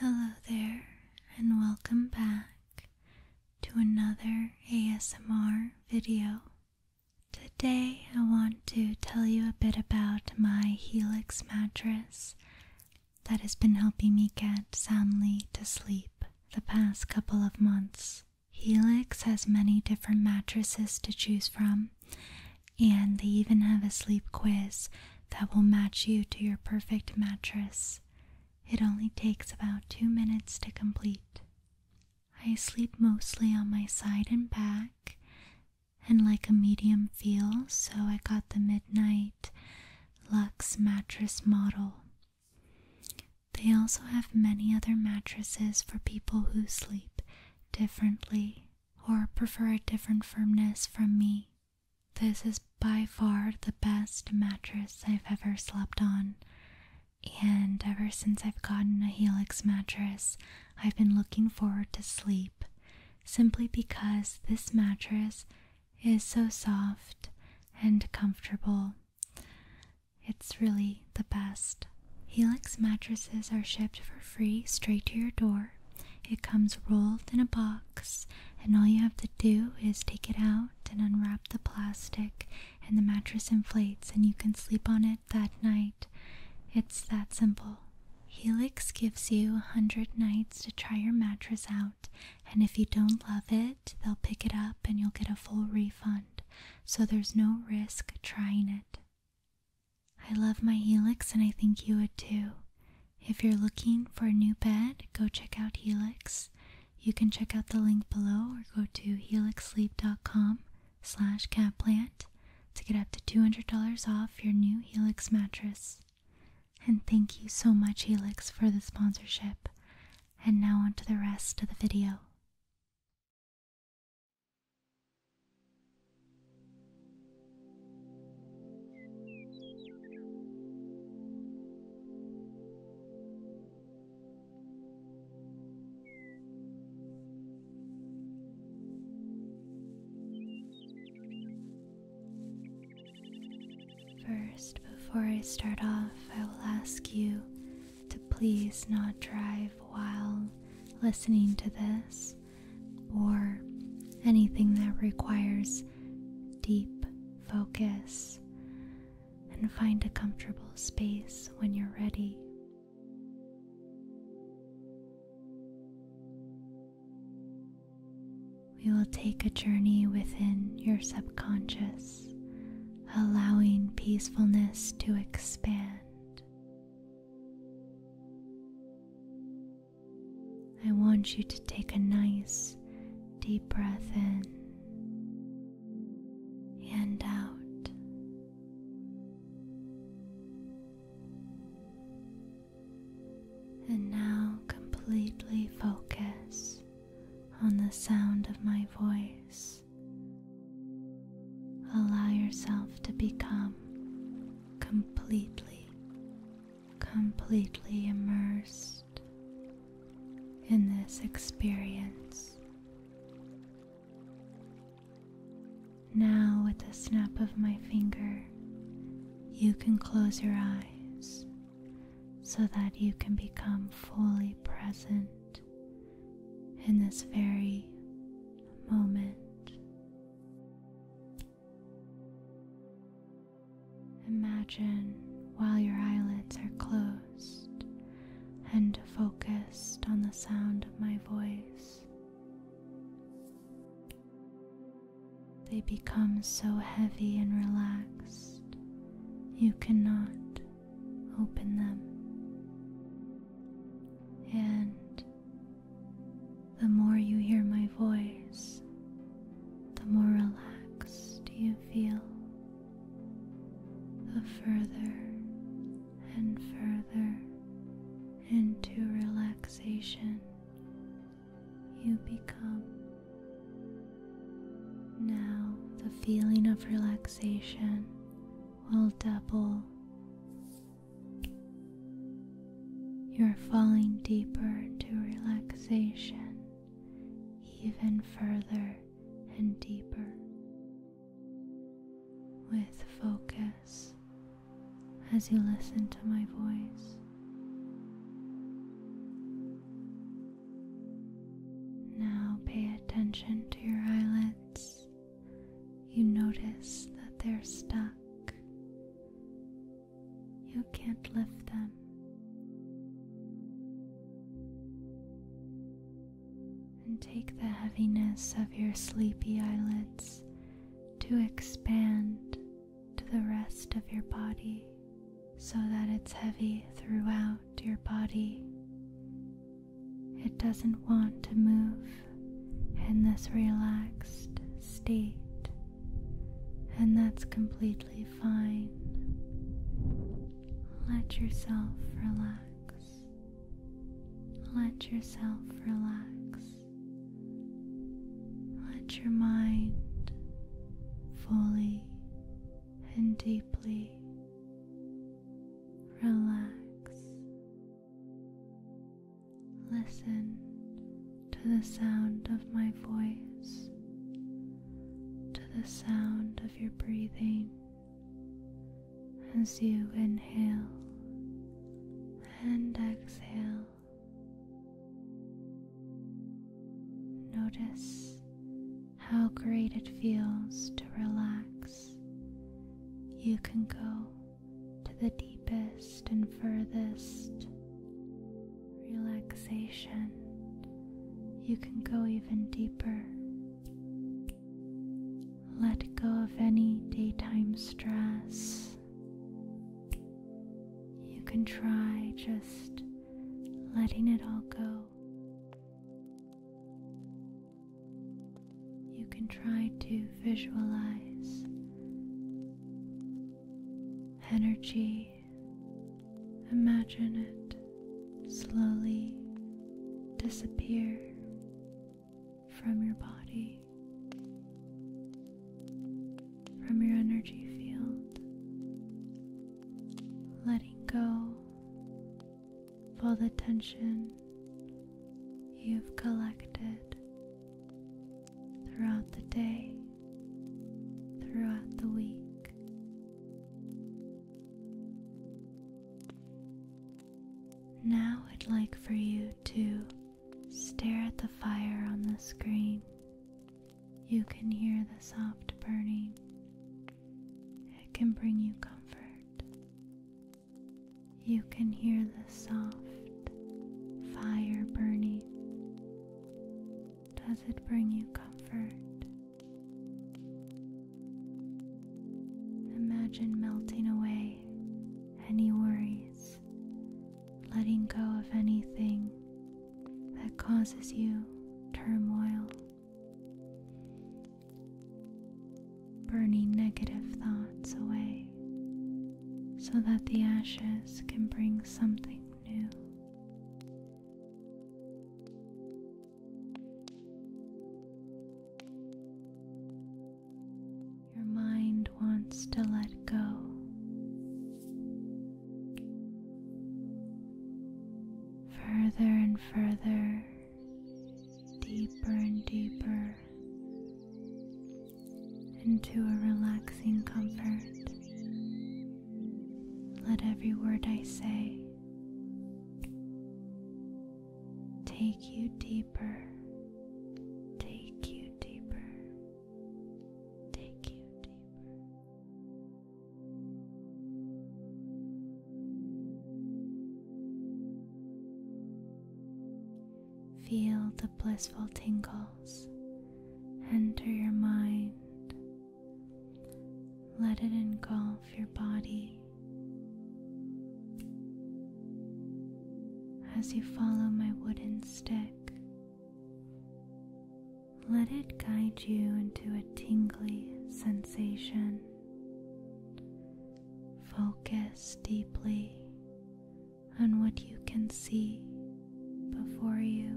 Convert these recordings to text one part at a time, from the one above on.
Hello there, and welcome back to another ASMR video. Today, I want to tell you a bit about my Helix mattress that has been helping me get soundly to sleep the past couple of months. Helix has many different mattresses to choose from, and they even have a sleep quiz that will match you to your perfect mattress. It only takes about two minutes to complete. I sleep mostly on my side and back and like a medium feel, so I got the Midnight Lux mattress model. They also have many other mattresses for people who sleep differently or prefer a different firmness from me. This is by far the best mattress I've ever slept on. And ever since I've gotten a Helix mattress, I've been looking forward to sleep simply because this mattress is so soft and comfortable. It's really the best. Helix mattresses are shipped for free straight to your door. It comes rolled in a box, and all you have to do is take it out and unwrap the plastic, and the mattress inflates, and you can sleep on it that night. It's that simple. Helix gives you a 100 nights to try your mattress out, and if you don't love it, they'll pick it up and you'll get a full refund. So there's no risk trying it. I love my Helix and I think you would too. If you're looking for a new bed, go check out Helix. You can check out the link below or go to helixsleep.com slash catplant to get up to $200 off your new Helix mattress. And thank you so much Helix for the sponsorship. And now on to the rest of the video. First, before I start off, I will ask you to please not drive while listening to this or anything that requires deep focus, and find a comfortable space when you're ready. We will take a journey within your subconscious, allowing peacefulness to expand I want you to take a nice deep breath in and out. And now completely focus on the sound of my voice. Allow yourself to become completely, completely immersed in this experience. Now, with a snap of my finger, you can close your eyes so that you can become fully present in this very moment. Imagine while your eyelids are closed and focused on the sound of my voice. They become so heavy and relaxed you cannot open them. And the more you hear my voice, the more relaxed do you feel. The further and further into relaxation you become. Now, the feeling of relaxation will double you're falling deeper to relaxation, even further and deeper. With focus as you listen to my voice. Now pay attention to your eyelids you notice that they're stuck. You can't lift them. And take the heaviness of your sleepy eyelids to expand to the rest of your body so that it's heavy throughout your body. It doesn't want to move in this relaxed state, and that's completely fine. Let yourself relax. Let yourself relax. Let your mind fully and deeply relax. Listen to the sound of my voice, to the sound of your breathing as you inhale and exhale. Notice how great it feels to relax. You can go to the deepest and furthest relaxation. You can go even deeper. Let go of any daytime stress. You can try just letting it all go you can try to visualize energy. Imagine it slowly disappear from your body, from your energy field, letting go of all the tension you've collected throughout the day, throughout the week. Now I'd like for you to stare at the fire on the screen. You can hear the soft burning. It can bring you comfort. You can hear the soft fire burning. Does it bring you comfort? Imagine melting away any worries, letting go of anything that causes you turmoil, burning negative thoughts away so that the ashes can bring something new. Your mind wants to let go. Further and further, deeper and deeper into a relaxing comfort. Let every word I say take you deeper, take you deeper, take you deeper. Feel blissful tingles enter your mind. Let it engulf your body. As you follow my wooden stick, let it guide you into a tingly sensation. Focus deeply on what you can see before you.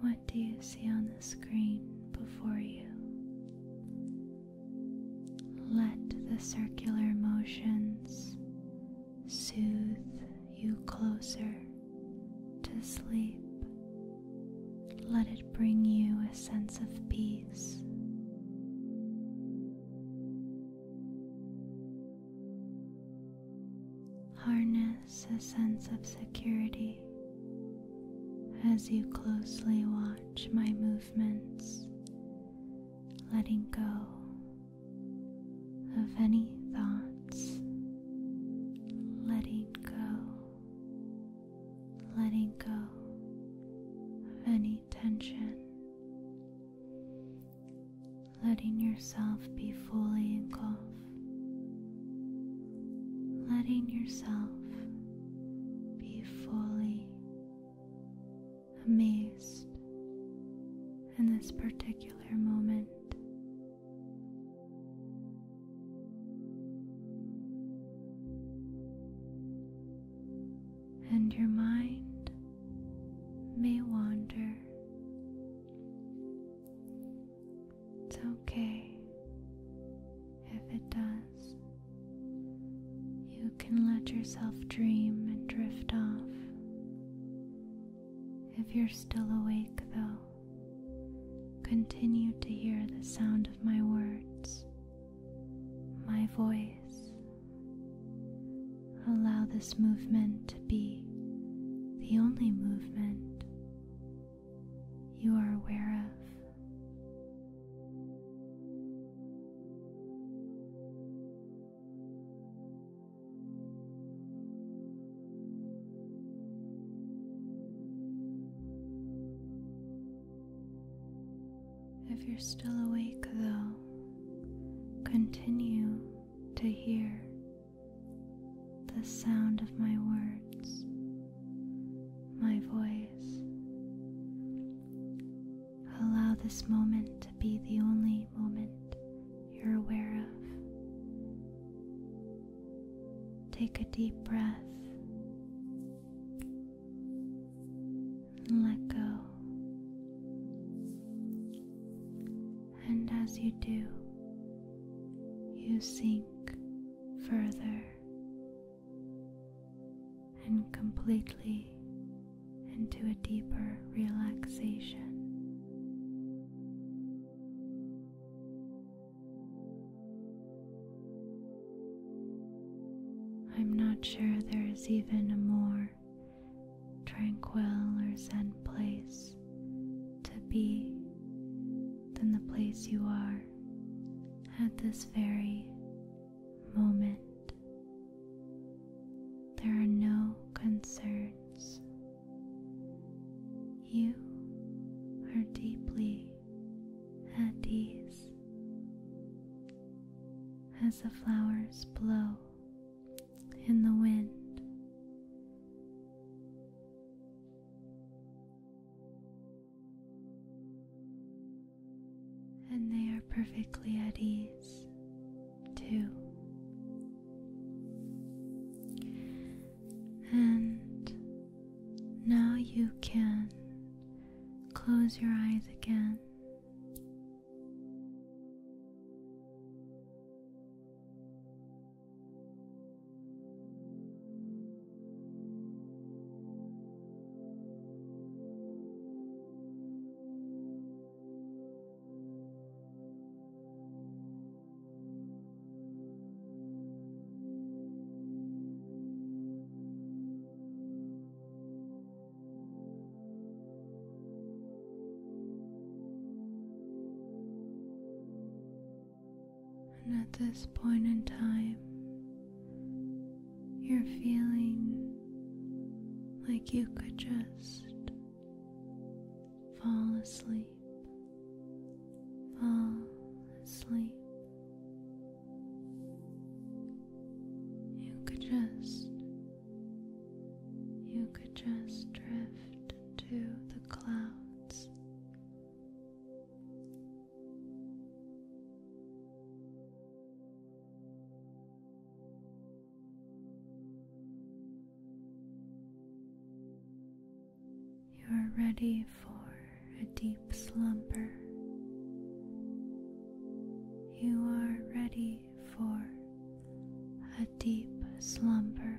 What do you see on the screen before you? Let the circular motions soothe you closer to sleep. Let it bring you a sense of peace. Harness a sense of security as you closely watch my movements, letting go of any thought letting go, letting go of any tension, letting yourself be fully engulfed, letting yourself be fully amazed in this particular moment and your mind may wander. It's okay if it does. You can let yourself dream and drift off. If you're still awake, though, continue to hear the sound of my words, my voice. Allow this movement to be the only movement you are aware of. If you're still awake, though, continue to hear the sound of my words, my voice. Allow this moment to be the only moment you're aware of. Take a deep breath and let go. And as you do, you sink further and completely into a deeper relaxation. I'm not sure there is even a more tranquil or zen place to be than the place you are at this very moment. There are no concerns you are deeply at ease as the flowers blow in the wind. And they are perfectly at ease, too. And now you can close your eyes again at this point in time, you're feeling like you could just fall asleep fall asleep. You could just, you could just drift to the clouds. You are ready for a deep slumber. You are ready for a deep slumber.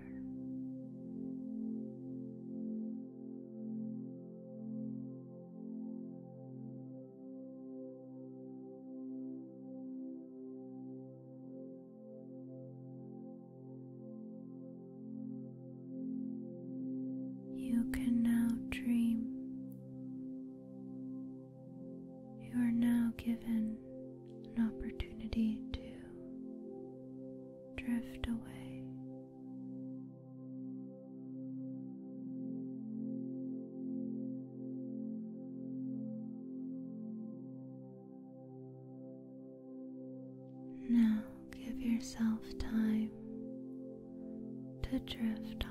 You can now dream. You are now given an opportunity to drift away. Now give yourself time to drift off.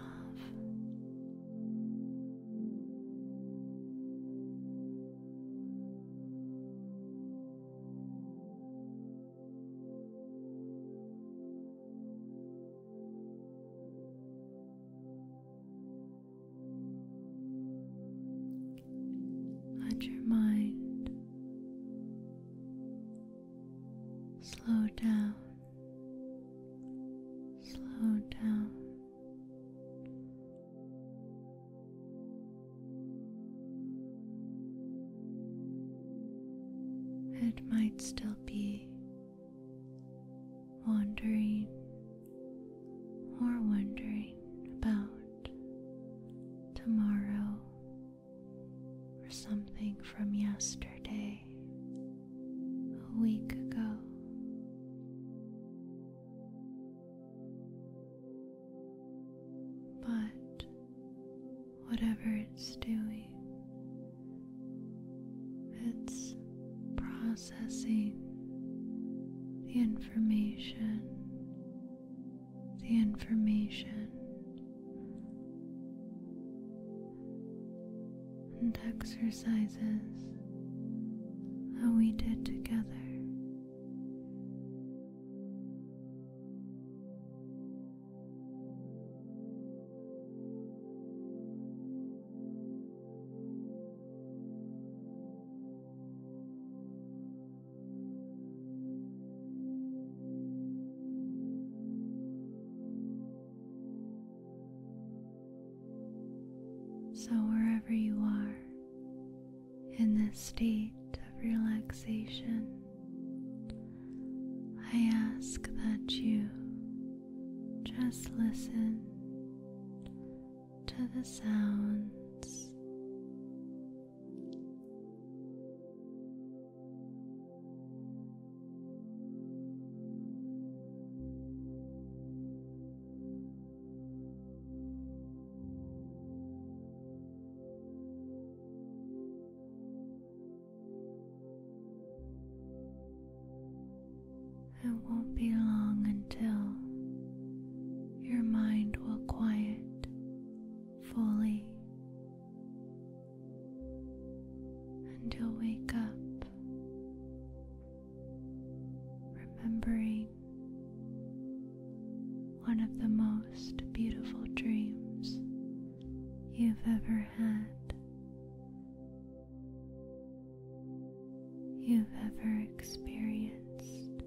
Let your mind slow down, slow down. It might still be wandering or wondering about tomorrow or something from yesterday, a week ago. But whatever it's doing, it's processing the information the information and exercises that we did together. So, wherever you are in this state of relaxation, I ask that you just listen to the sounds it won't be long until your mind will quiet fully and you'll wake up remembering one of the most beautiful dreams you've ever had, you've ever experienced.